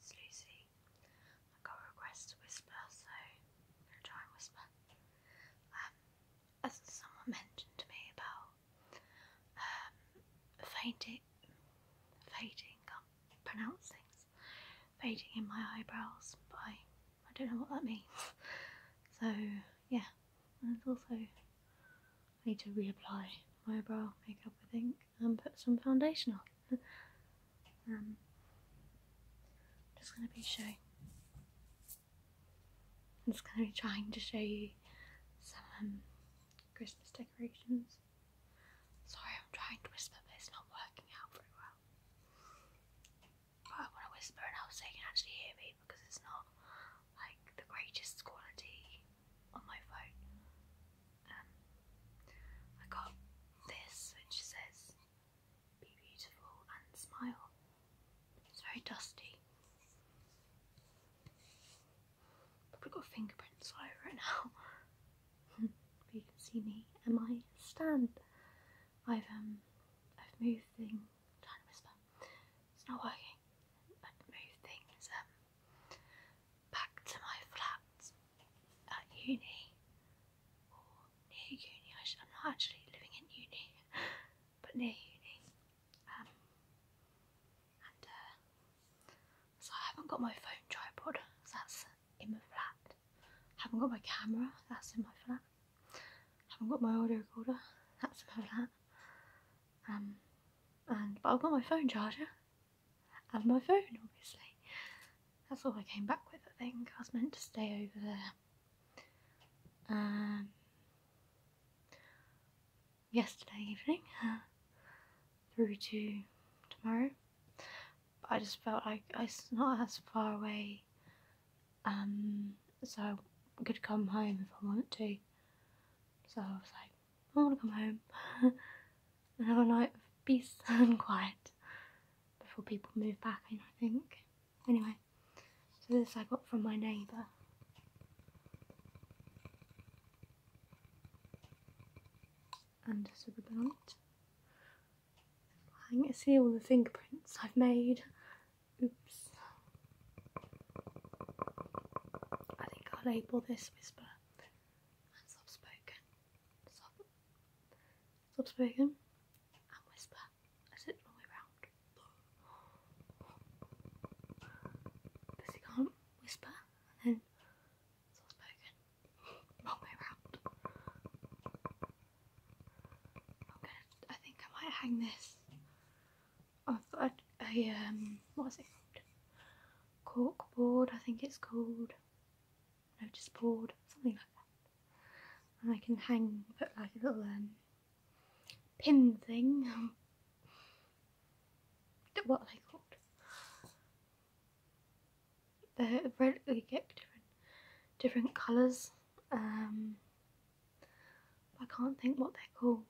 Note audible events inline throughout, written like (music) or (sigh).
This is Lucy. I got a request to whisper, so I'm gonna try and whisper. Um, as someone mentioned to me about um, fading, fading, can't fading in my eyebrows, but I, I don't know what that means. So, yeah, and it's also, I need to reapply my eyebrow makeup, I think and put some foundation on. I'm (laughs) um, just going to be showing. I'm just going to be trying to show you some um, Christmas decorations. Sorry, I'm trying to whisper, but it's not working out very well. But I want to whisper it out so you can actually hear me because it's not like the greatest quality on my phone. Um, I got this, which says "Be beautiful and smile." It's very dusty. Probably got fingerprints all over it now. but (laughs) you can see me and my stand. I've um, I've moved things. Trying to whisper. It's not working. I've moved things. Um, back to my flat at uni or near uni. I am not actually living in uni, (laughs) but near uni. Um, and uh, so I haven't got my phone tripod. that's in my flat. haven't got my camera. That's in my flat. haven't got my audio recorder. That's in my flat. Um, and but I've got my phone charger and my phone, obviously. That's all I came back with, I think. I was meant to stay over there. Um, yesterday evening uh, through to tomorrow. I just felt I, it's not as far away, um, so I could come home if I wanted to. So I was like, I want to come home (laughs) and have a night of peace (laughs) and quiet before people move back in, I think. Anyway, so this I got from my neighbour. And just a ribbon on it. I can see all the fingerprints I've made. Oops. I think I'll label this Whisper and soft spoken. Soft, soft spoken and whisper. I said wrong way round. Because you can't whisper and then soft spoken. Wrong way round. i I think I might hang this. i um, what's it Cork board, I think it's called, notice board, something like that. And I can hang, put like a little um, pin thing. (laughs) what are they called? They're get different, different colours. Um, I can't think what they're called.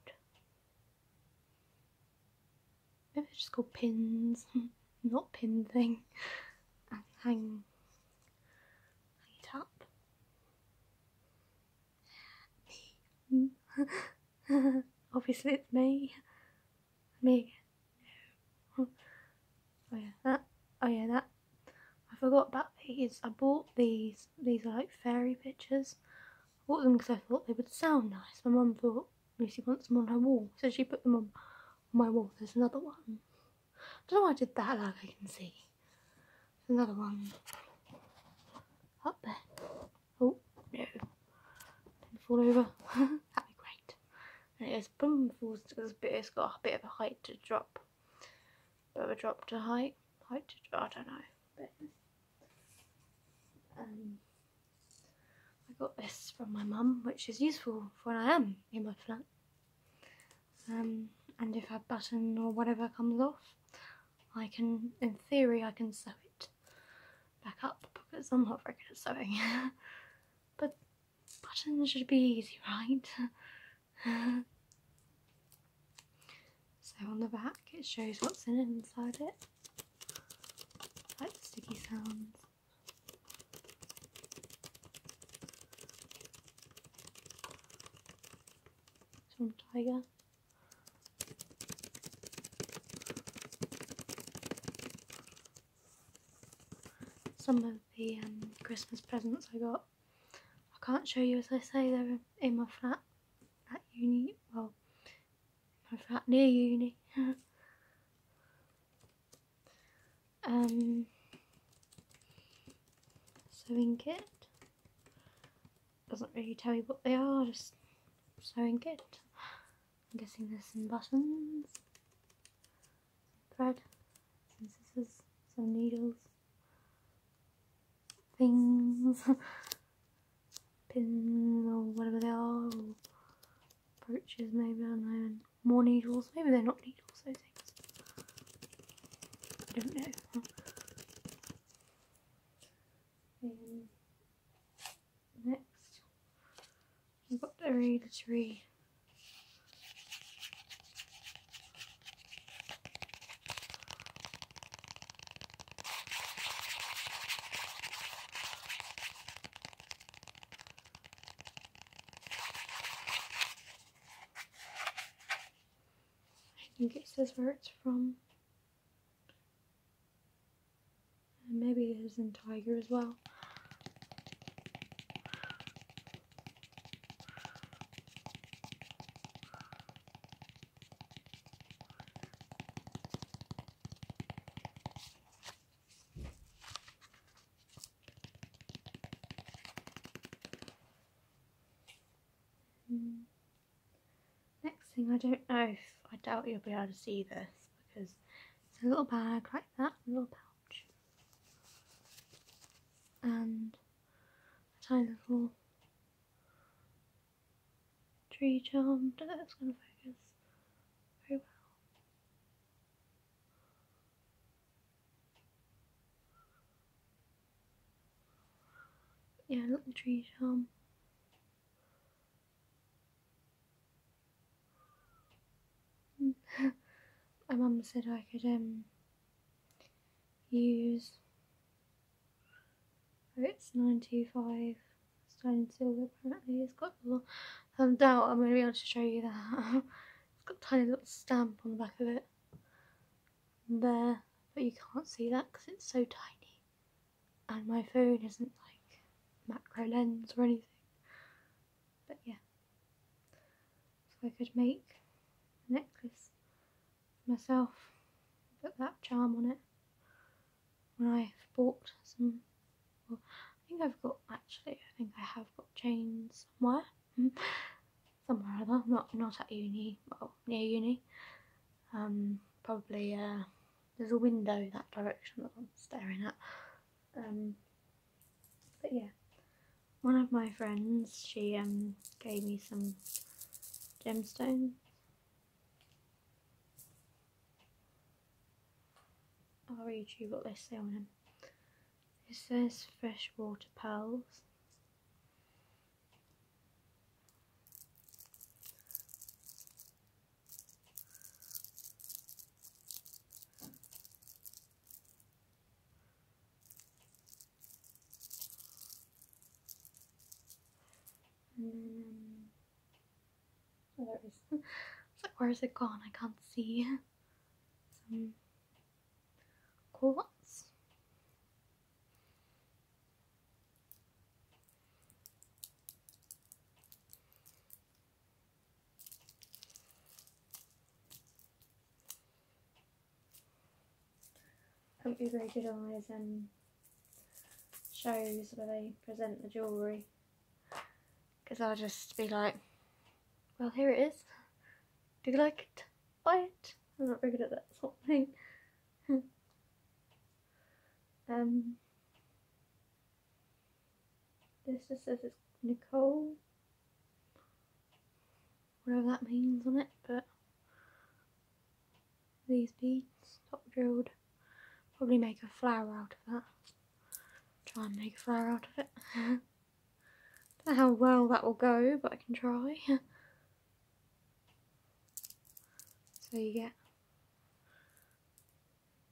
Maybe it's just called pins, (laughs) not pin thing, and hang, hang it up. (laughs) Obviously, it's me. Me Oh yeah, that. Oh yeah, that. I forgot about these. I bought these. These are like fairy pictures bought them because I thought they would sound nice. My mum thought Lucy wants them on her wall, so she put them on my wall. There's another one. I don't know why I did that, like I can see. another one up there. Oh, no. do fall over. (laughs) That'd be great. And it goes boom, falls because it's got a bit of a height to drop. Bit of a drop to height. Height I don't know. Um, I got this from my mum, which is useful for when I am in my flat. Um, and if a button or whatever comes off, I can, in theory, I can sew it back up because I'm not very good at sewing. (laughs) but buttons should be easy, right? (laughs) So on the back it shows what's in inside it. like the sticky sounds. Some Tiger. Some of the um, Christmas presents I got. I can't show you as I say they're in my flat at uni, well I was that near uni. (laughs) um, sewing kit. Doesn't really tell you what they are, just sewing kit. I'm guessing there's some buttons, thread, some scissors, some needles, things, (laughs) pins or whatever they are, or brooches maybe, I don't know, more needles, maybe they're not needles, those things, I don't know. Hmm. next, I've got the read a tree. I think it says where it's from. And maybe it is in Tiger as well. Next thing, I don't know if I doubt you'll be able to see this because it's a little bag like that, a little pouch, and a tiny little tree charmed. That's going to focus very well. Yeah, look the tree charm. (laughs) My mum said I could um use it's 925 sterling silver apparently. It's got a lot. I um, doubt I'm going to be able to show you that. (laughs) it's got tiny little stamp on the back of it. There. But you can't see that because it's so tiny. And my phone isn't like macro lens or anything. But yeah. So I could make a necklace myself. Put that charm on it when I've bought some. Well, I think I've got actually. I think I have got chains somewhere, hmm. somewhere other. Not not at uni. Well, near uni. Um, probably. Uh, there's a window that direction that I'm staring at. Um, but yeah, one of my friends she um gave me some gemstones I'll read you what they say on them. It says freshwater pearls. Um, oh, (laughs) where's it gone? I can't see. Some cool ones. I'm not very good rated those and shows where they present the jewellery because I'll just be like well here it is do you like it? Buy it! I'm not very good at that sort of thing (laughs) um this is Nicole whatever that means on it, but these beads, top drilled, probably make a flower out of that. Try and make a flower out of it. (laughs) Don't know how well that will go, but I can try. (laughs) so you get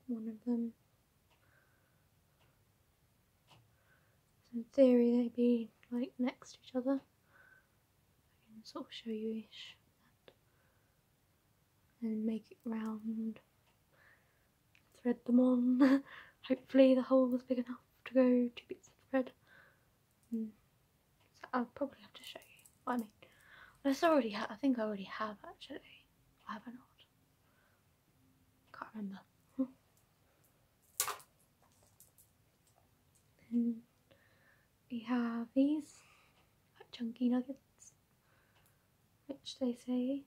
one of them. So in theory they'd be like next to each other. I can sort of show you ish that. and make it round thread them on (laughs) hopefully the hole was big enough to go two bits of thread mm. I'll probably have to show you what I mean unless I already have I think I already have actually or have I not can't remember we have these chunky nuggets, which they say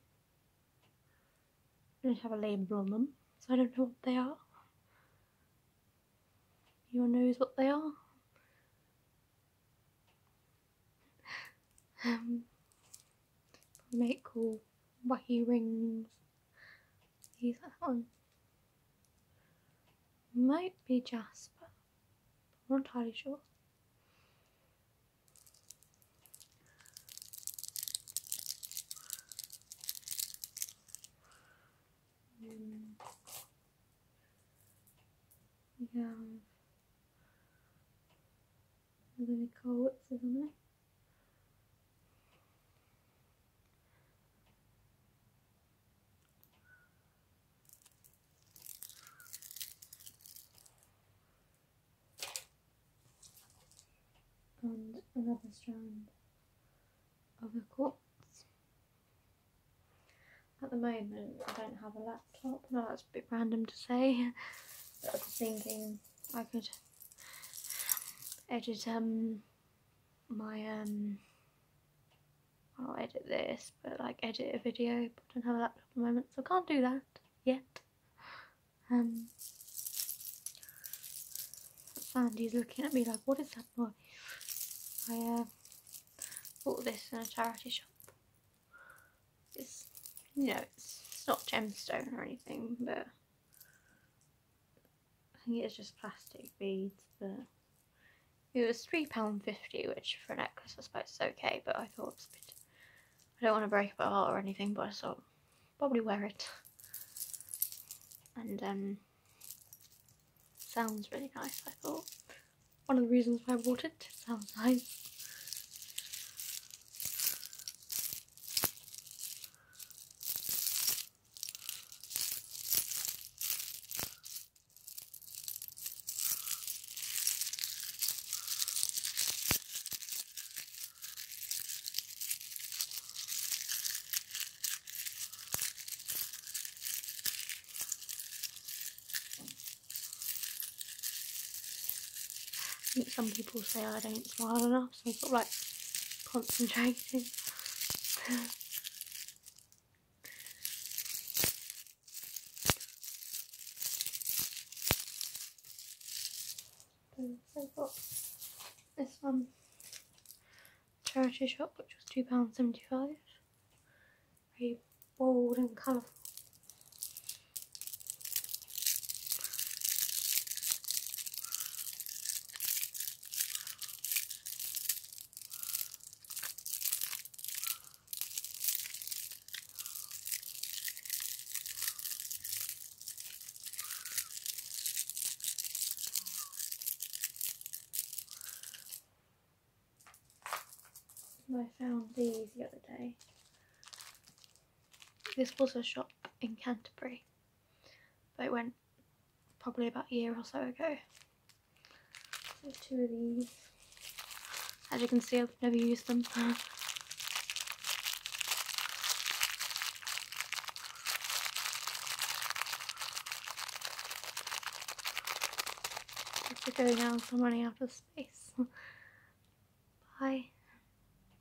don't have a label on them, so I don't know what they are. Anyone knows what they are? (laughs) um, make cool wacky rings Use that one. Might be Jasper. I'm not entirely sure. Hmm. We have Nicole Witz, and another strand of the quartz. At the moment I don't have a laptop, no that's a bit random to say, but I was thinking I could edit um, my um I'll edit this but like edit a video but I don't have a laptop at the moment so I can't do that yet um Sandy's looking at me like what is that I uh, bought this in a charity shop it's you know it's, it's not gemstone or anything but I think it's just plastic beads, but it was £3.50, which for a necklace I suppose is okay, but I thought it's a bit, I don't want to break up my heart or anything, but I thought probably wear it. And um, sounds really nice, I thought. One of the reasons why I bought it sounds nice. I think some people say I don't smile enough. Some sort of like concentrating. so (laughs) I've got this one um, charity shop which was £2.75. Very bold and colourful. I found these the other day. This was a shop in Canterbury but it went probably about a year or so ago. So two of these. As you can see, I've never used them. (laughs) to go now, I'm running out of space. (laughs) Bye.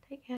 Take care.